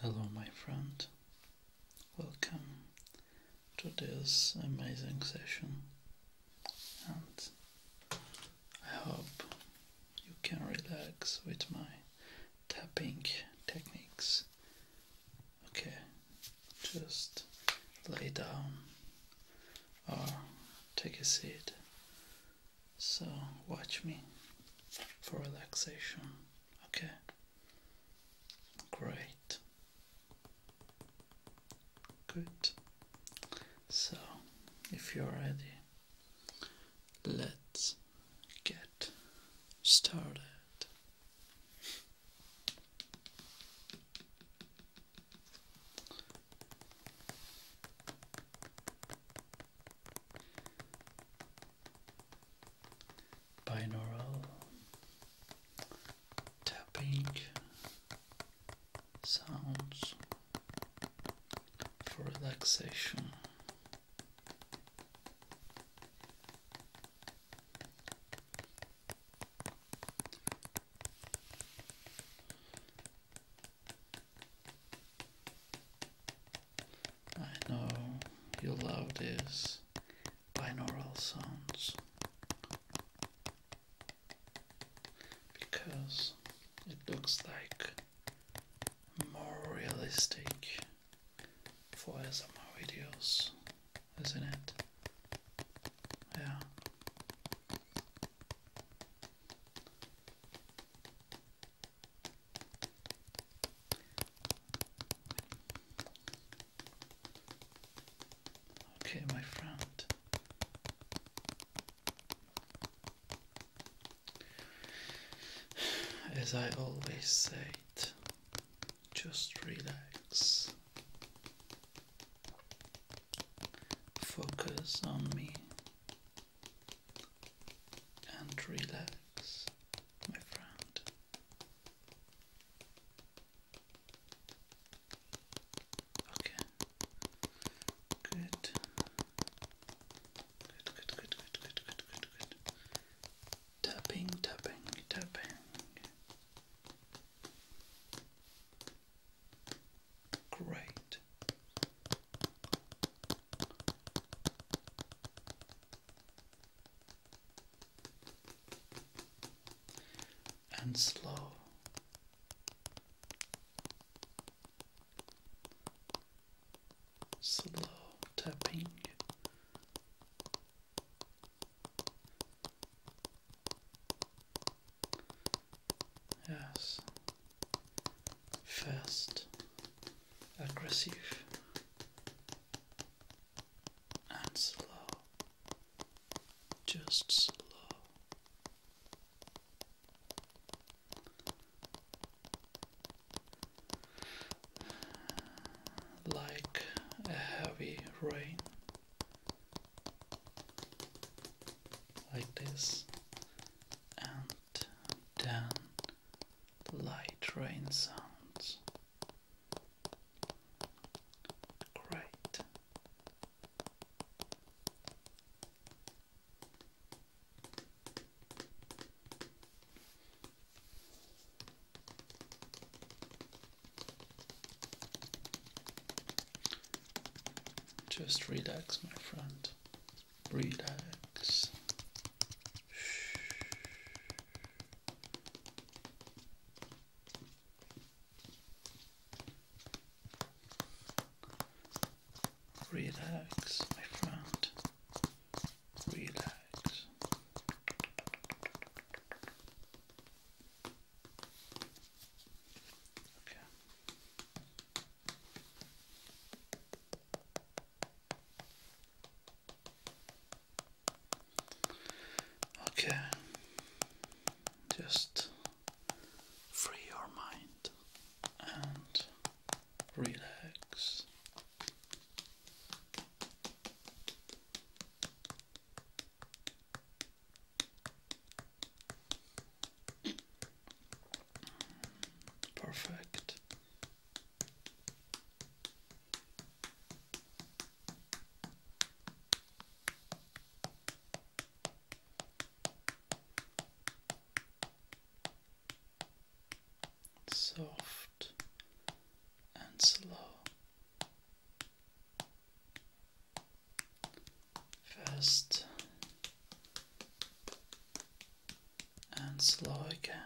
Hello, my friend. Welcome to this amazing session, and I hope you can relax with my tapping techniques. Okay, just lay down or take a seat so watch me for relaxation. Okay. Great. Good. So, if you're ready, let's get started binaural tapping sounds for relaxation. I know you love these binaural sounds because it looks like more realistic for SMR videos, isn't it? Yeah. Okay, my friend. As I always say, just relax. Focus on me and relax, my friend. Okay. Good. Good, good, good, good, good, good, good, good. Tapping, tapping, tapping. Great. And slow. Slow tapping. Yes. Fast, aggressive, and slow. Just slow. Like a heavy rain like this, and then light rain sounds. Great. Just relax, my friend. Relax. Relax, my friend. Relax. Okay. Just free your mind and relax. Perfect. Soft and slow fast and slow again.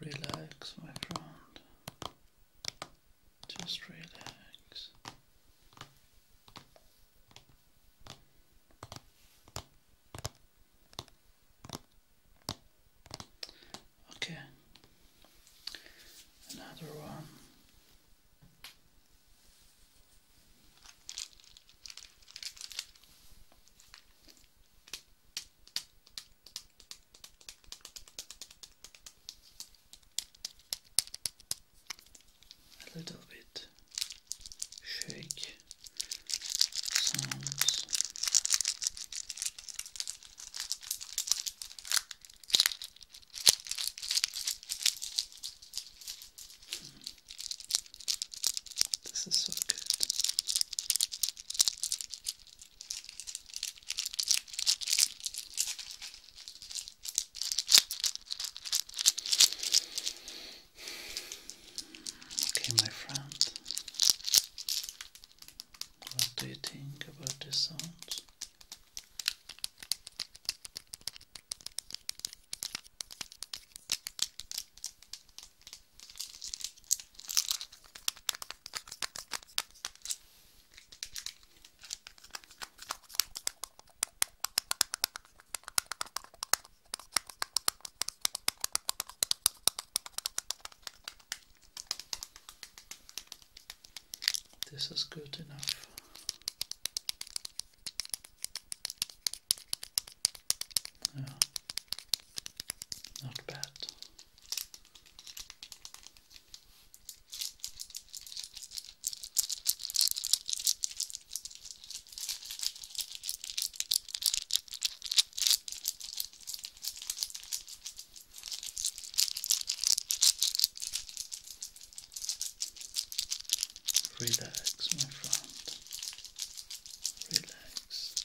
Relax, my friend. Just relax. Okay, another one a little bit shake sounds. This is so good. Okay, my friend, what do you think about this sound? This is good enough. Yeah. Not bad. Relax, my friend. Relax.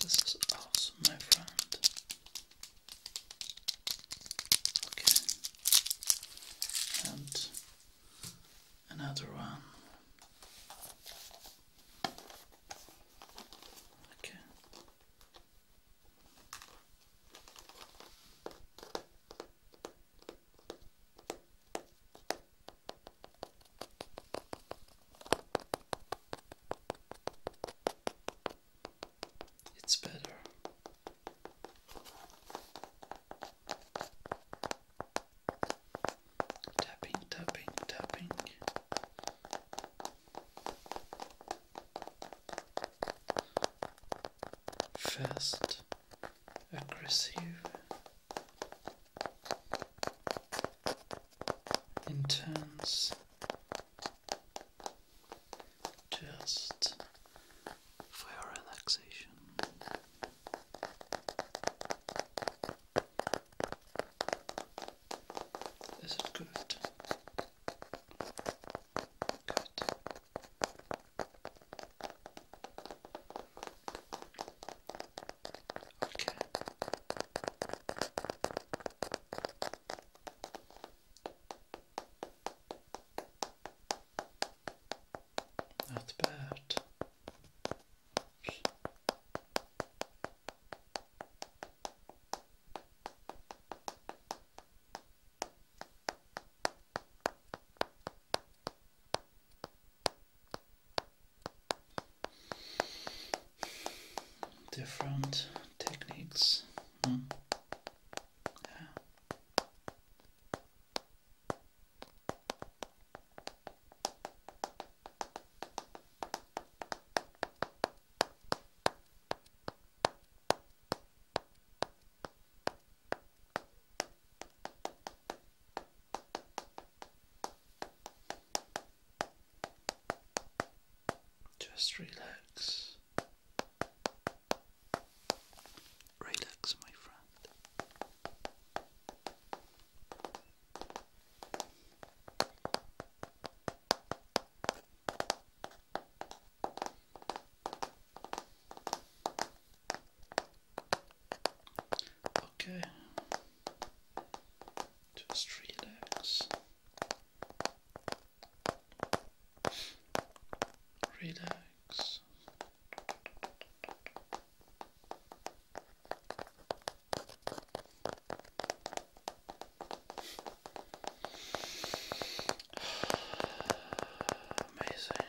This is awesome, my friend. Okay. And another one. Okay. It's better. Tapping, tapping, tapping. Fast, aggressive, intense, just for your relaxation. Is it good? Good. Okay. Not bad. Oops different techniques. Yeah. Hmm. Just relax. Relax, my friend. Okay. Just relax. Relax. Amazing.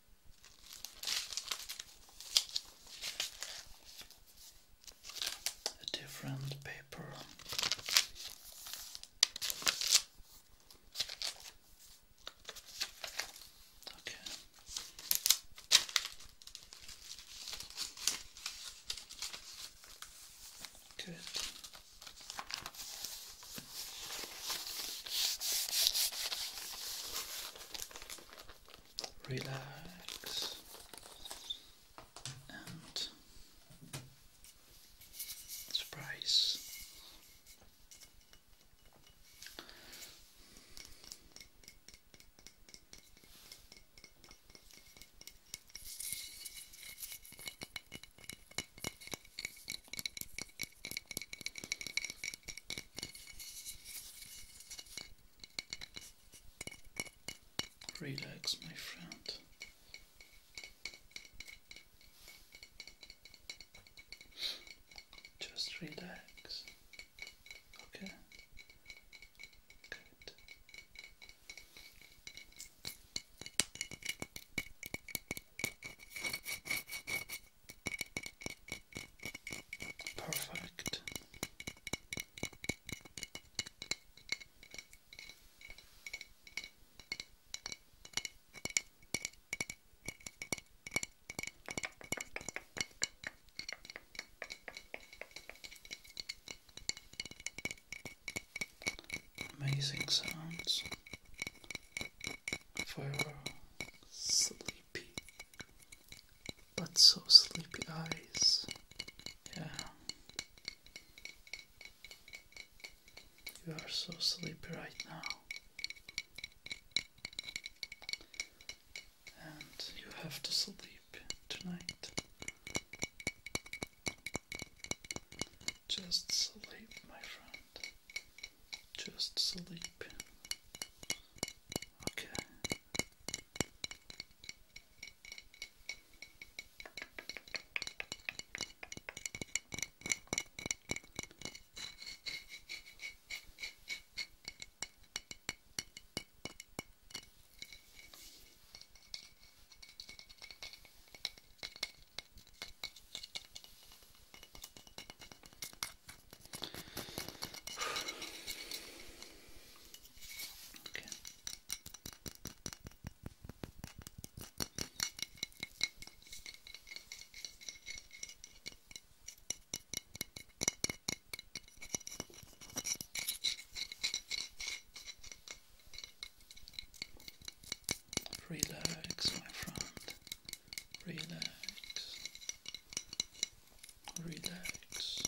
a different paper. Okay. Good relax and surprise. Relax, my friend. Just relax. Okay. Perfect. Amazing sounds for sleepy but so sleepy eyes. Yeah. You are so sleepy right now. And you have to sleep tonight. Just sleep, my friend. Just sleep. Okay. Okay. Relax, my friend relax, relax.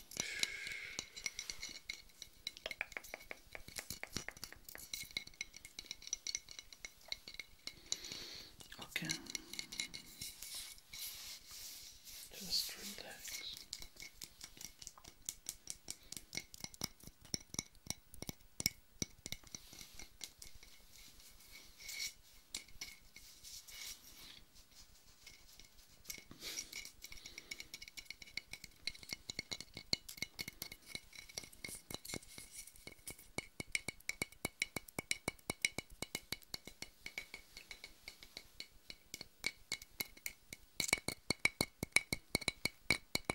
Okay, just relax.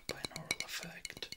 Binaural effect.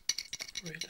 relax. Okay.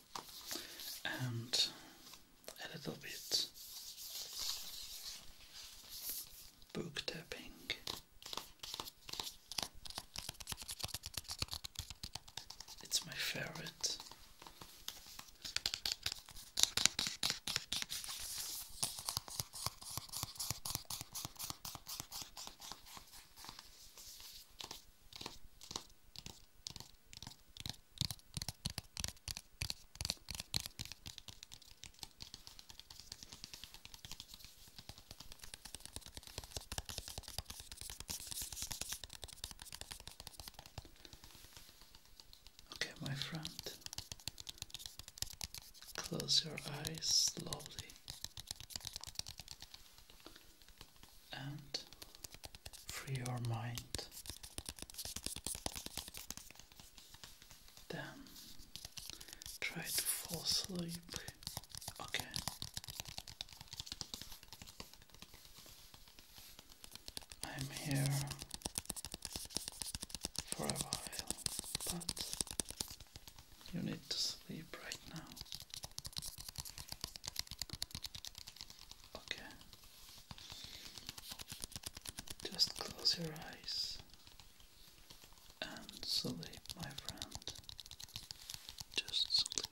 and a little bit book tapping. It's my favorite. Okay, my friend, close your eyes slowly and free your mind. Then try to fall asleep. Okay. I'm here for a while, but you need to sleep right now. Okay. Just close your eyes and sleep, my friend. Just sleep.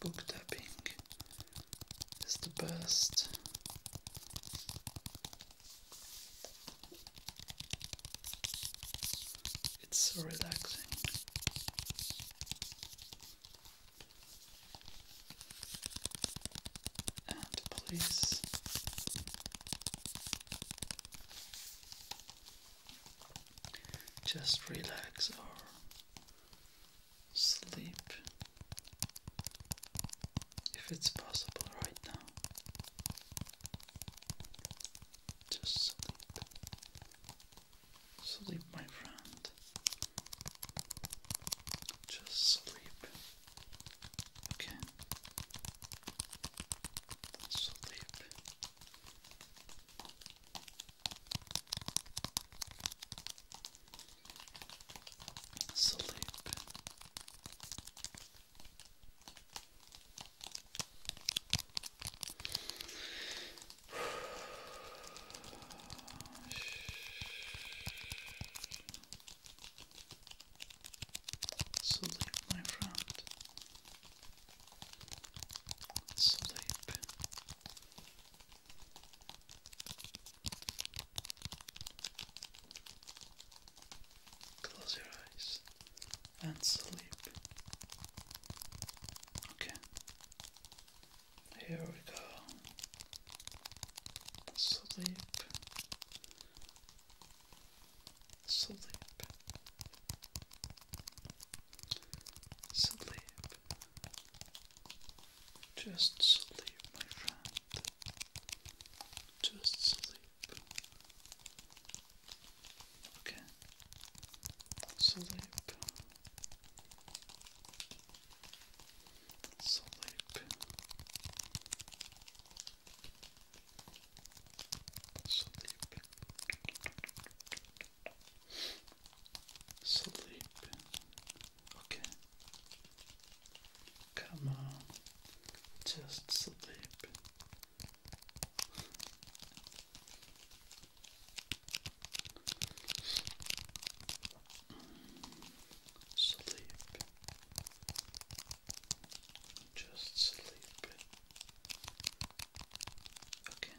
Book tapping is the best. It's so relaxing. And please just relax or sleep if it's possible right now. Just sleep, sleep, my friend. Just sleep, okay? Sleep. Sleep. Sleep, my friend. Sleep. Close your eyes and sleep. Okay, here we go. Sleep, sleep, Sleep. Just sleep, my friend. Just sleep. Okay. Sleep. Sleep. Sleep. Sleep. Okay. Come on. Just sleep. Sleep. Just sleep. Okay.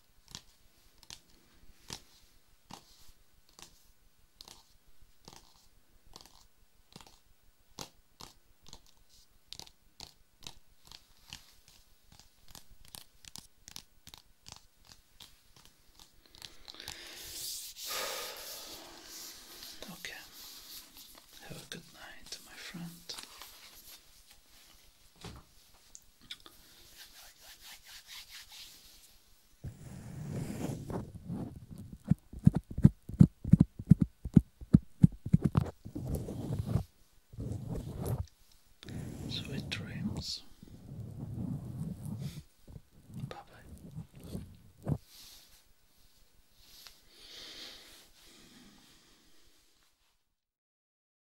Okay. Have a good night, my friend. Sweet dreams. Bye